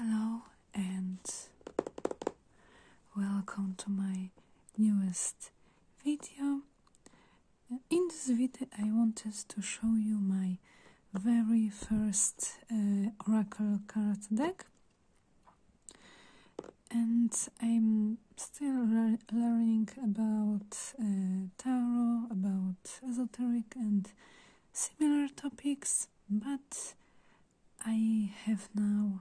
Hello and welcome to my newest video. In this video I wanted to show you my very first uh, oracle card deck and I'm still learning about uh, tarot, about esoteric and similar topics, but I have now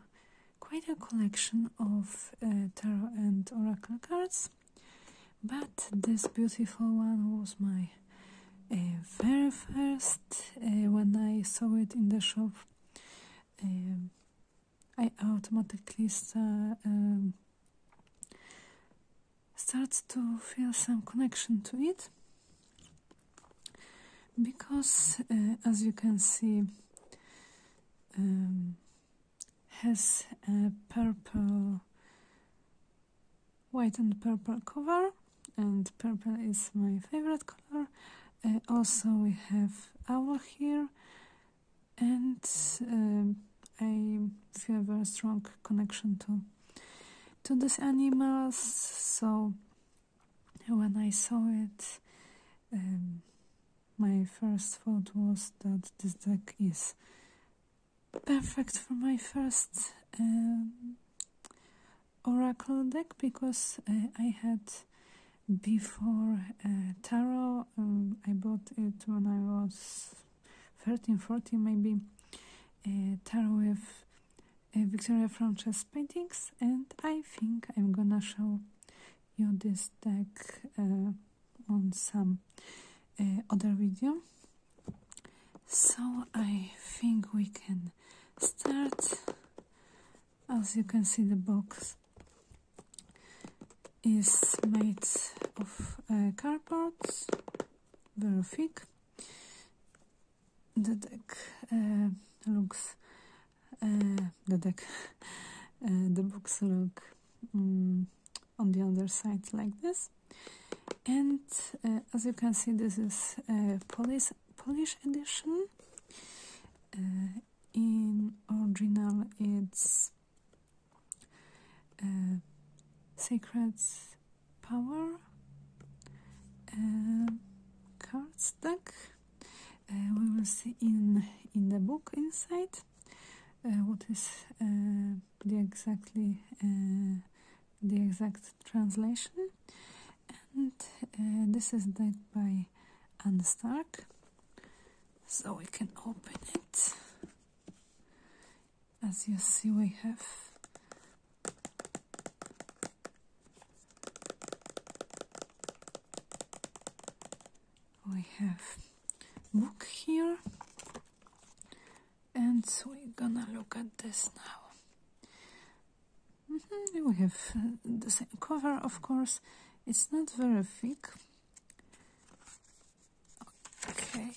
quite a collection of uh, tarot and oracle cards. But this beautiful one was my uh, very first uh, when I saw it in the shop. Um, I automatically um, start to feel some connection to it because, uh, as you can see, um, has a purple white and purple cover and purple is my favorite color uh, also we have owl here and uh, I have a strong connection to to these animals so when I saw it um, my first thought was that this deck is perfect for my first um, oracle deck because uh, I had before uh, tarot um, I bought it when I was 13 14 maybe uh, tarot with Victoria Frances paintings and I think I'm gonna show you this deck on some other video so I think we can start. As you can see, the box is made of uh, cardboard, very thick. The deck uh, looks, uh, the deck, uh, the box look mm, um, on the other side like this and uh, as you can see this is a uh, Polish, Polish edition uh, in original it's secrets Power uh, cards deck we will see in in the book inside what is the exactly the exact translation and uh, this is back by Anne Stark so we can open it as you see we have we have book here and we're gonna look at this now. Mm-hmm, we have uh, the same cover, of course. It's not very thick. Okay.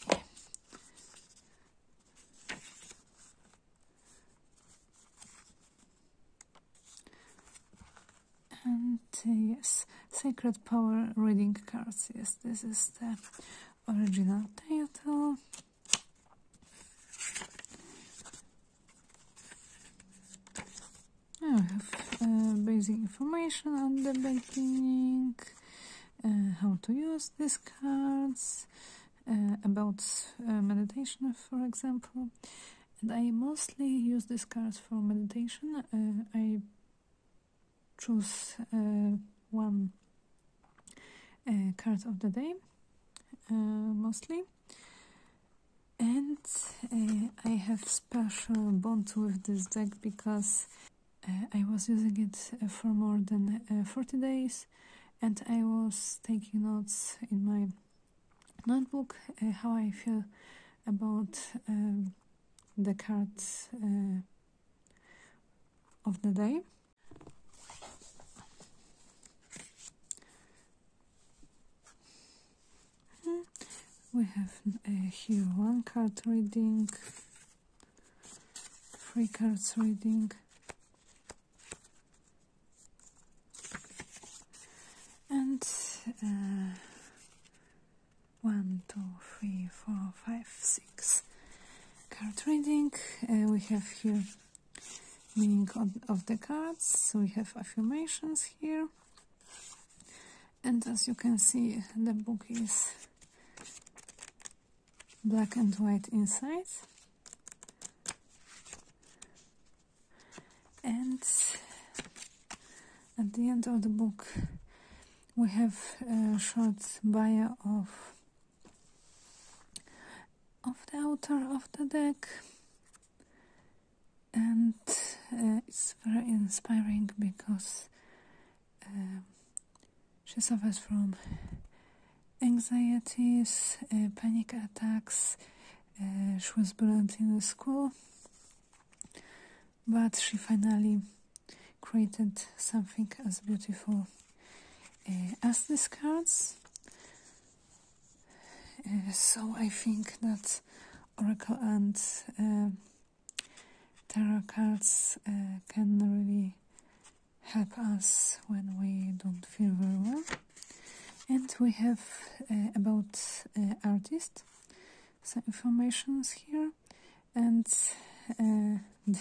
And uh, yes, Sacred Power reading cards. Yes, this is the original title I have uh, basic information on the beginning uh, how to use these cards uh, about meditation for example and I mostly use these cards for meditation I choose uh, one uh, card of the day uh, mostly and I have special bond with this deck because I was using it for more than 40 days and I was taking notes in my notebook how I feel about um, the cards of the day we have uh, here one card reading three cards reading and uh, one two three four five six card reading. Uh, we have here meaning of the cards. So we have affirmations here. And as you can see, the book is black and white inside. And at the end of the book, we have uh, a short bio of of the author of the deck and uh, it's very inspiring because um, she suffers from anxieties, uh, panic attacks. she was bullied in school, but she finally created something as beautiful eh, as these cards. Eh, so I think that Oracle and eh, Tarot cards can really help us when we don't feel very well. And we have about artists some informations here and uh,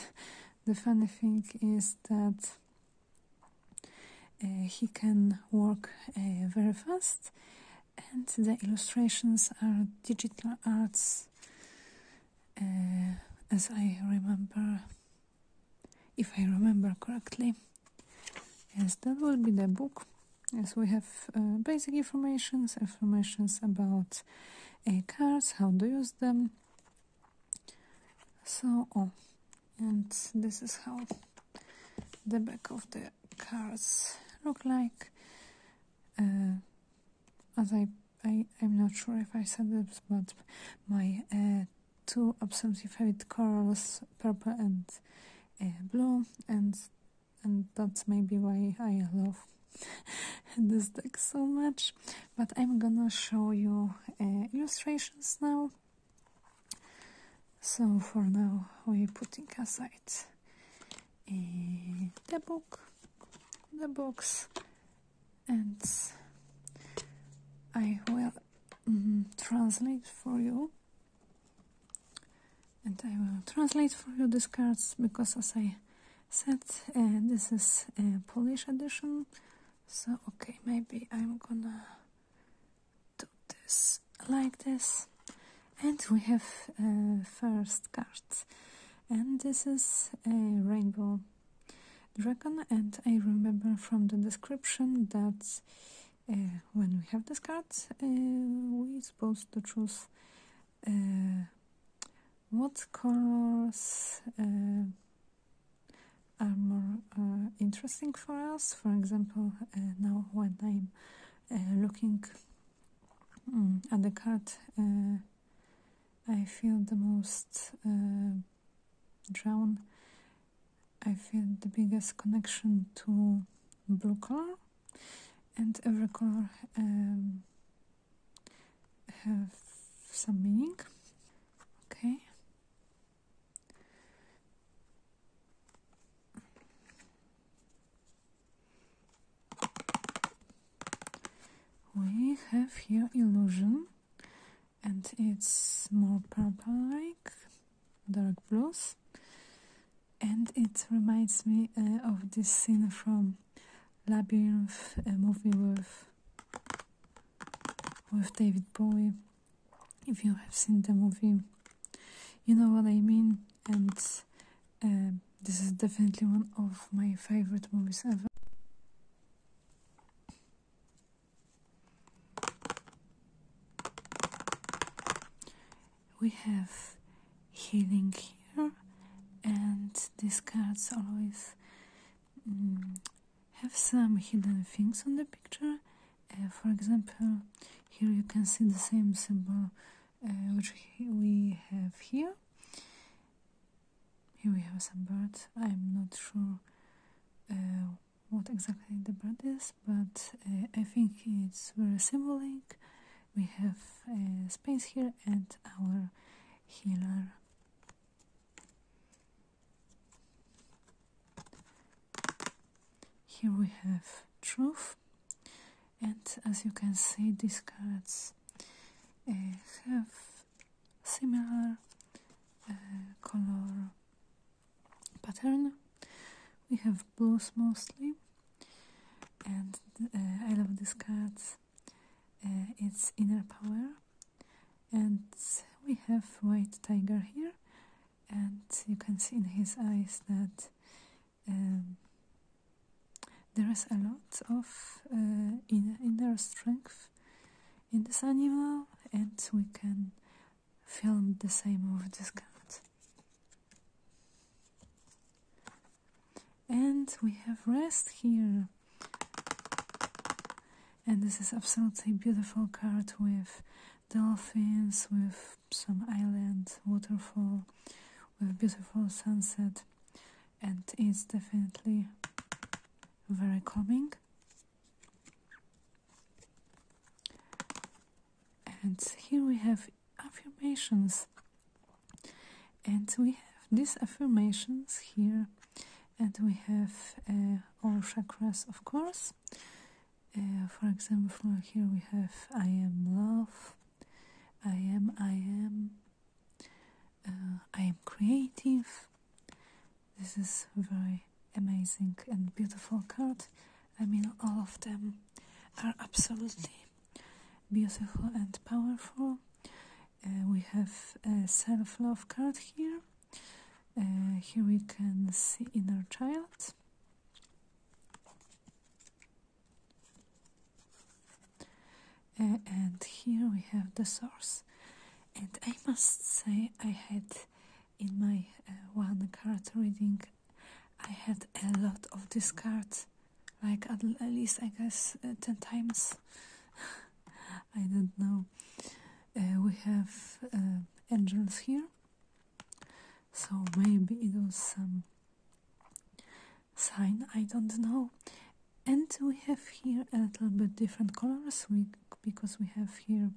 the funny thing is that uh, he can work uh, very fast and the illustrations are digital arts as i remember if i remember correctly yes that will be the book As we have basic informations, informations about uh, cars, how to use them so oh, and this is how the back of the cards look like uh, as I, I I'm not sure if I said this but my uh, two absolutely favorite colors purple and uh, blue and and that's maybe why I love this deck so much but i'm gonna show you uh, illustrations now so for now we're putting aside uh, the book the box, and i will mm, translate for you and i will translate for you these cards because as i set. and this is a Polish edition, so okay, maybe I'm gonna do this like this. And we have uh, first card, and this is a rainbow dragon. And I remember from the description that uh, when we have this card, uh, we're supposed to choose. What colors uh, are more uh, interesting for us? For example, uh, now when I'm looking mm, at the card, I feel the most drawn. I feel the biggest connection to blue color, and every color um, have some meaning. Okay. We have here illusion and it's more purple like dark blues and it reminds me uh, of this scene from Labyrinth, a movie with with David Bowie. If you have seen the movie, you know what I mean. And um, this is definitely one of my favorite movies ever. We have healing here and these cards always mm, have some hidden things on the picture uh, for example here you can see the same symbol uh, which we have here here we have some birds i'm not sure uh, what exactly the bird is but i think it's very symbolic we have space here and our healer here we have truth and as you can see these cards uh, have similar uh, color pattern we have blues mostly and uh, I love these cards uh, its inner power and we have white tiger here and you can see in his eyes that um, there is a lot of uh, inner, strength in this animal and we can film the same over this cat and we have rest here and this is absolutely beautiful card with dolphins with some island waterfall with beautiful sunset and it's definitely very calming and here we have affirmations and we have these affirmations here and we have uh, all chakras of course uh, for example here we have i am love i am i am uh, i am creative this is very amazing and beautiful card i mean all of them are absolutely beautiful and powerful uh, we have a self-love card here uh, here we can see inner child uh, and here we have the source and i must say i had in my uh, one card reading i had a lot of these cards like at, least I guess uh, 10 times. I don't know. Uh, we have uh, angels here, so maybe it was some sign, I don't know. And we have here a little bit different colors we, because we have here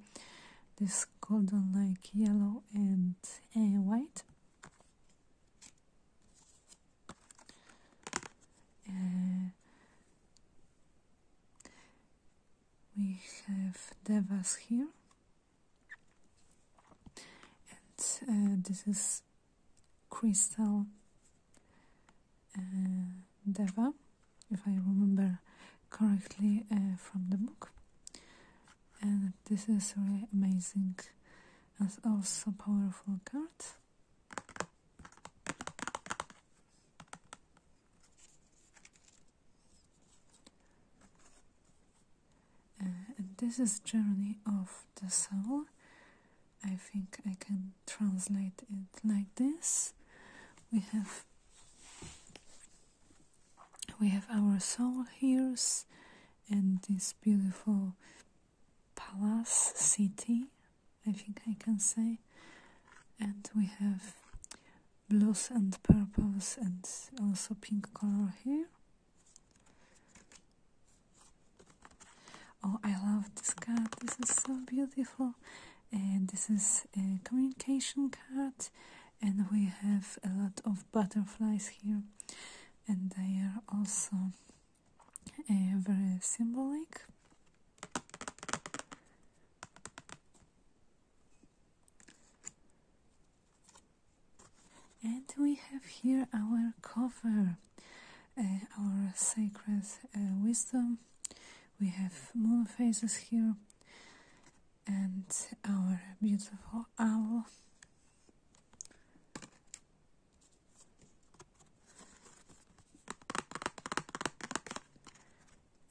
this golden, like yellow and white. Uh, we have Devas here, and uh, this is Crystal uh, Deva, if I remember correctly from the book. And this is really amazing and also powerful card. Uh, this is journey of the soul. I think I can translate it like this. We have we have our soul here and this beautiful palace city, I think I can say. And we have blues and purples and also pink color here. Oh, I love this card. This is so beautiful. And this is a communication card. And we have a lot of butterflies here. And they are also very symbolic. And we have here our cover, uh, our sacred uh, wisdom. We have moon phases here and our beautiful owl.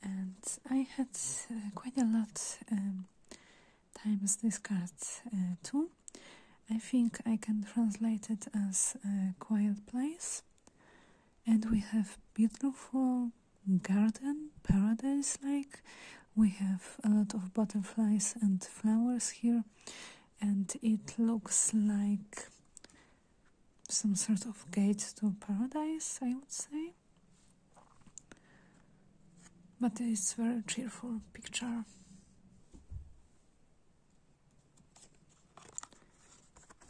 And I had uh, quite a lot um, times this card uh, too. I think I can translate it as a uh, quiet place. And we have beautiful garden, paradise like. We have a lot of butterflies and flowers here and it looks like some sort of gate to paradise, I would say. But it's very cheerful picture.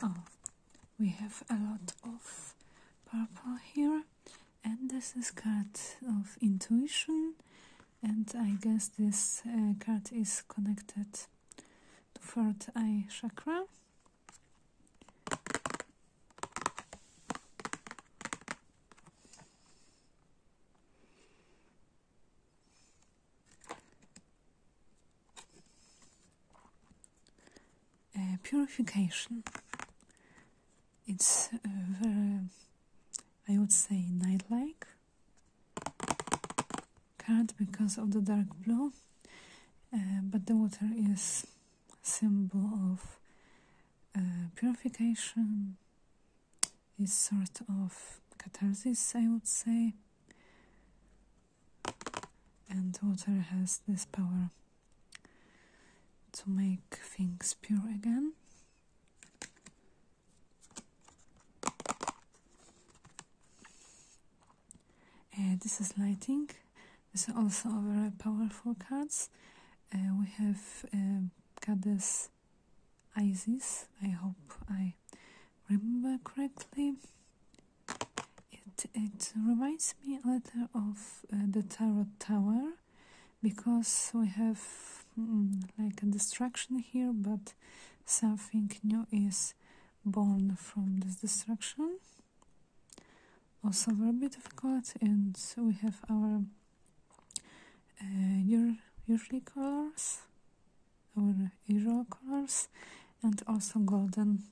Oh, we have a lot of purple here, and this is card of intuition, and I guess this uh, card is connected to fourth eye chakra. Uh, purification. It's uh, very, I would say, night like card because of the dark blue uh, but the water is symbol of uh, purification is sort of catharsis i would say and water has this power to make things pure again uh, this is lighting. This is also very powerful cards. Uh, we have uh, Goddess Isis. I hope I remember correctly. It, it reminds me a little of uh, the Tarot Tower because we have mm, like a destruction here, but something new is born from this destruction. Also, a bit of gold, and we have our usual uh, colors, our hero colors, and also golden,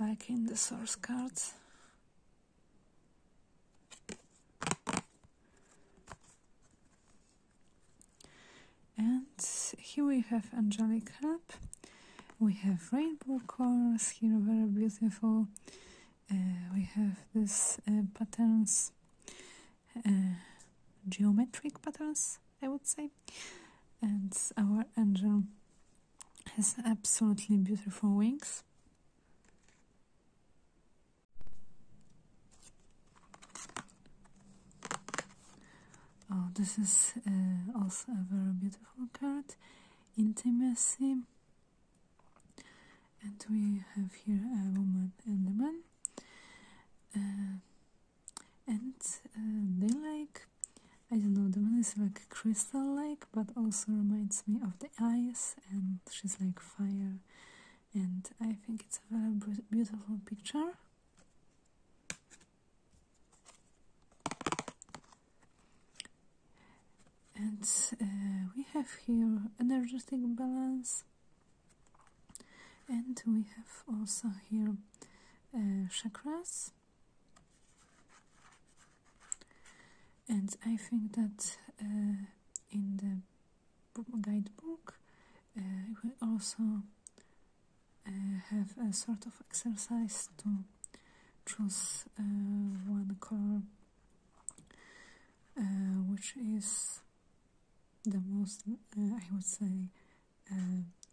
like in the source cards. And here we have angelic harp. We have rainbow colors here, very beautiful. Uh, we have these uh, patterns, uh, geometric patterns, I would say. And our angel has absolutely beautiful wings. Oh, this is uh, also a very beautiful card, Intimacy. And we have here a woman and a man. Uh, and uh, they like, I don't know, the woman is like crystal like, but also reminds me of the ice, and she's like fire and I think it's a very beautiful picture. And uh, we have here energetic balance, and we have also here uh, chakras. And I think that uh, in the guidebook. Uh, we also uh, have a sort of exercise to choose uh, one color uh, which is the most, I would say,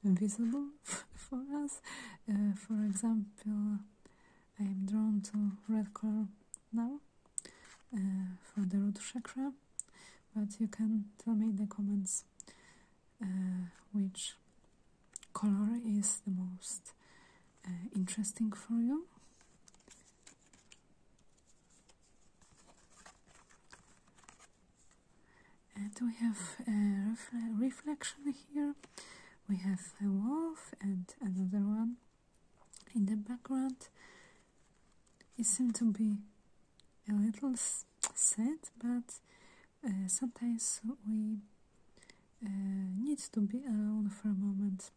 visible for us. for example, I am drawn to red color now for the root chakra, but you can tell me in the comments which color is the most interesting for you. And we have a reflection here. We have a wolf and another one in the background. It seems to be a little sad, but uh, sometimes we uh, need to be alone for a moment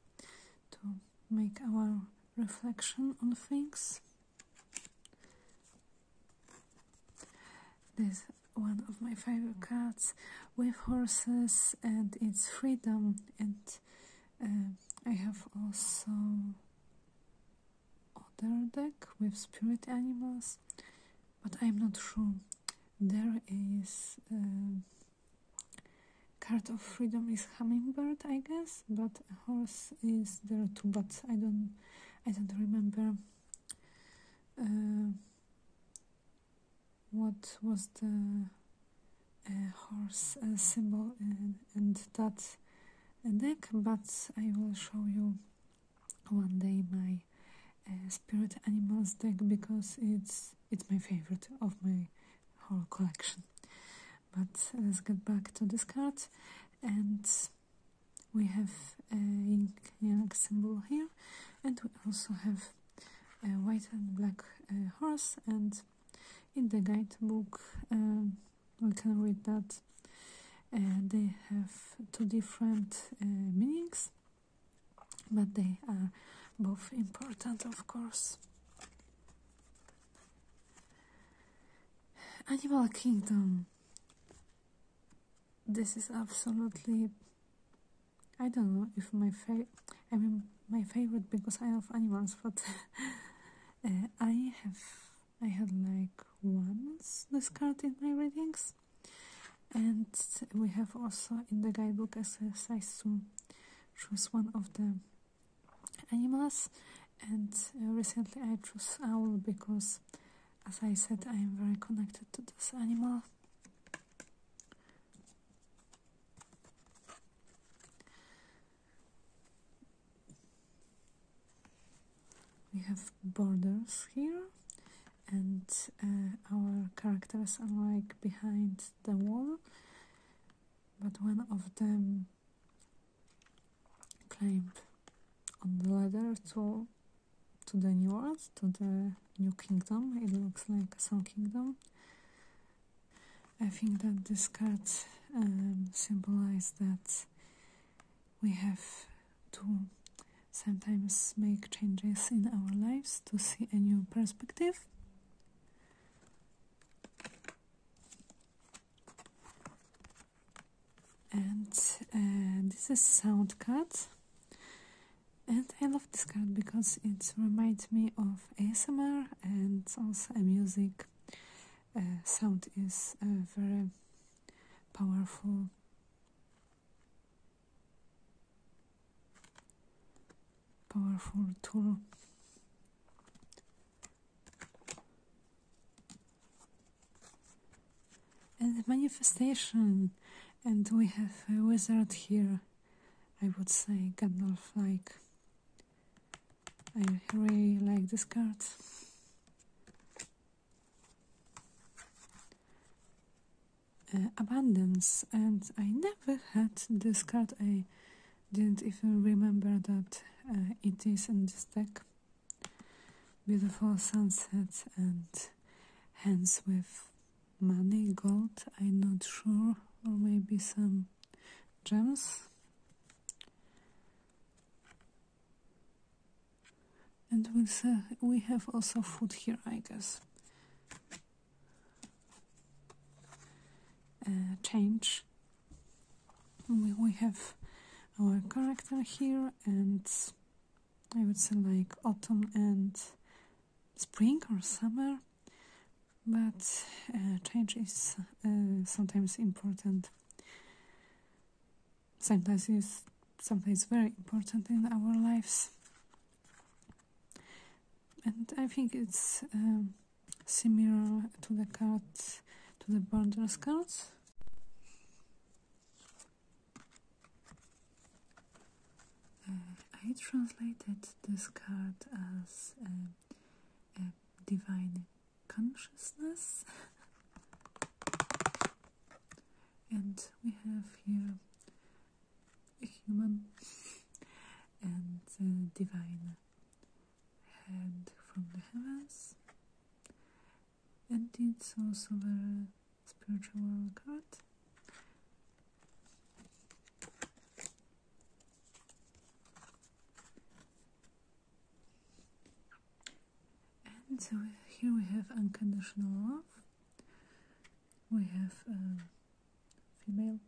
to make our reflection on things. This one of my favorite cards with horses and its freedom, and uh, I have also other deck with spirit animals, but I'm not sure. There is um, card of freedom is hummingbird, I guess, but horse is there too. But I don't, I don't remember. Uh, what was the horse symbol and that deck, but I will show you one day my uh, spirit animals deck because it's it's my favorite of my whole collection. But let's get back to this card and we have a yin symbol here and we also have a white and black uh, horse and in the guidebook um, we can read that uh, they have two different uh, meanings, but they are both important, of course. Animal Kingdom. This is absolutely. I don't know if my favorite. I mean, my favorite because I love animals, but Uh, I have I had like once this card in my readings, and we have also in the guidebook exercise to choose one of the animals. And uh, recently I chose owl because, as I said, I am very connected to this animal we have borders here and uh, our characters are like behind the wall but one of them climbed on the ladder to to the new world to the new kingdom it looks like some kingdom I think that this card um, symbolizes that we have to sometimes make changes in our lives to see a new perspective. And uh, this is sound card. And I love this card because it reminds me of ASMR and also music uh, sound is a uh, very powerful. Powerful tool. And manifestation, and we have a wizard here, I would say Gandalf like. I really like this card. Uh, abundance and I never had this card I didn't even remember that uh, it is in this deck beautiful sunset and hands with money gold I'm not sure or maybe some gems and we we have also food here I guess uh, change we, we have our character here and I would say like autumn and spring or summer but uh, change is uh, sometimes important. Sometimes is sometimes very important in our lives, and I think it's um, similar to the cards, to the borders cards. Uh, I translated this card as. Um, a äh, divine consciousness. and we have here a human and a divine hand from the heavens. And it's also a spiritual card. And so here we have unconditional love. We have a female,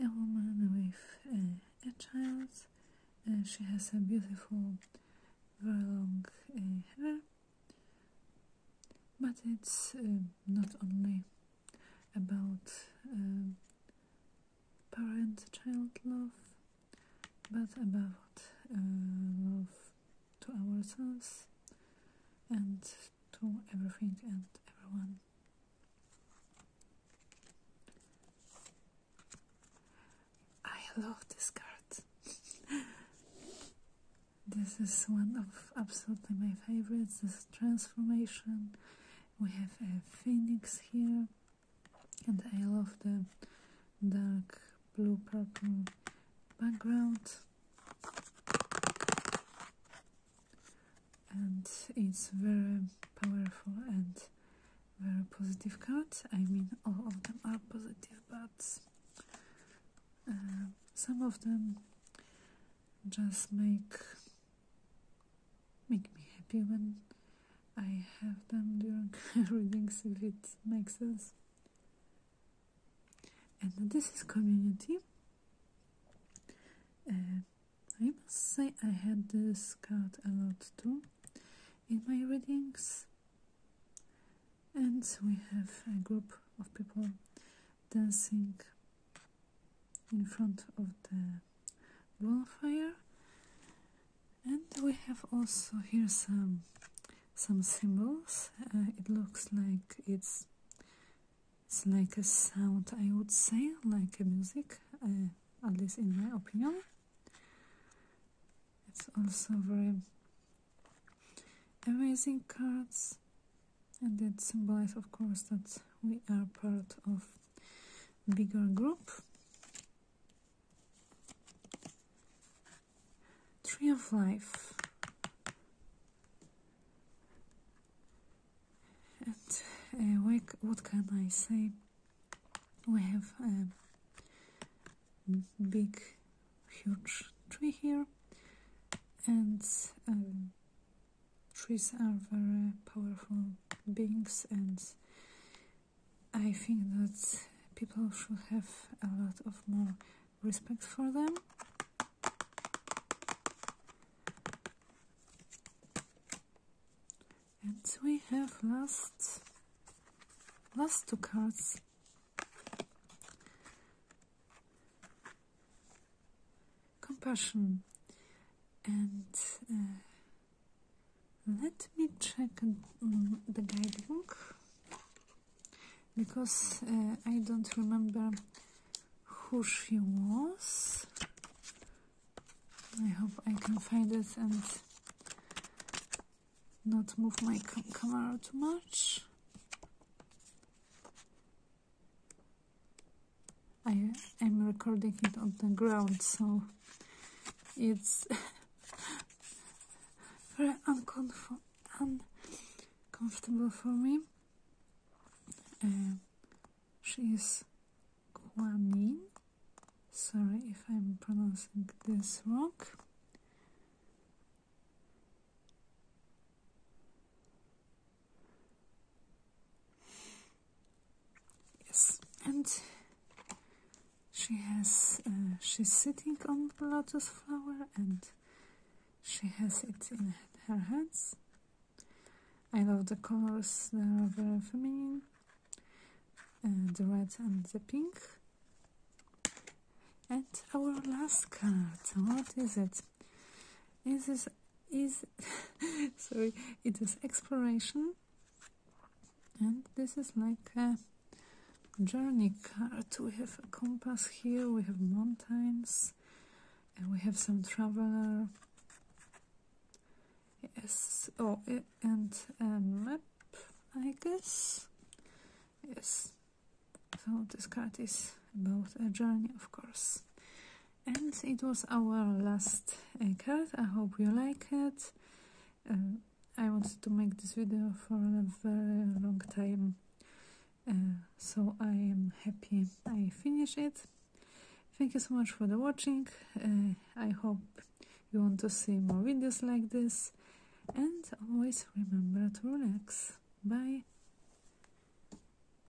a woman with a child. and uh, she has a beautiful, very long uh, hair, but it's uh, not only about parent-child love, but about uh, love to ourselves and to everything and everyone. I love this card. this is one of absolutely my favorites. This transformation we have a phoenix here, and I love the dark blue purple background. And it's very powerful and very positive card. I mean, all of them are positive, but uh, some of them just make make me happy when I have them during readings if it makes sense. And this is community. Uh, I must say I had this card a lot too in my readings. And we have a group of people dancing in front of the bonfire and we have also here some some symbols uh, it looks like it's it's like a sound i would say like a music uh, at least in my opinion it's also very amazing cards and that symbolizes of course that we are part of bigger group tree of life and uh, what can I say we have a big huge tree here and um, trees are very powerful beings and I think that people should have a lot of more respect for them. And we have last last two cards compassion and uh, let me check the guidebook because uh, I don't remember who she was I hope I can find it and not move my camera too much I am recording it on the ground, so it's very uncomfortable for me. Uh, she is Guanin. Sorry if I'm pronouncing this wrong. Yes, and she has uh, she's sitting on the lotus flower and she has it in her hands. I love the colors; they are very feminine, uh, the red and the pink. And our last card, what is it? Is This is sorry it is exploration and this is like a journey card we have a compass here we have mountains and we have some traveler yes oh and a map i guess yes so this card is about a journey of course and it was our last uh, card i hope you like it um, i wanted to make this video for a very long time uh, so i am happy i finished it thank you so much for the watching uh, i hope you want to see more videos like this and always remember to relax bye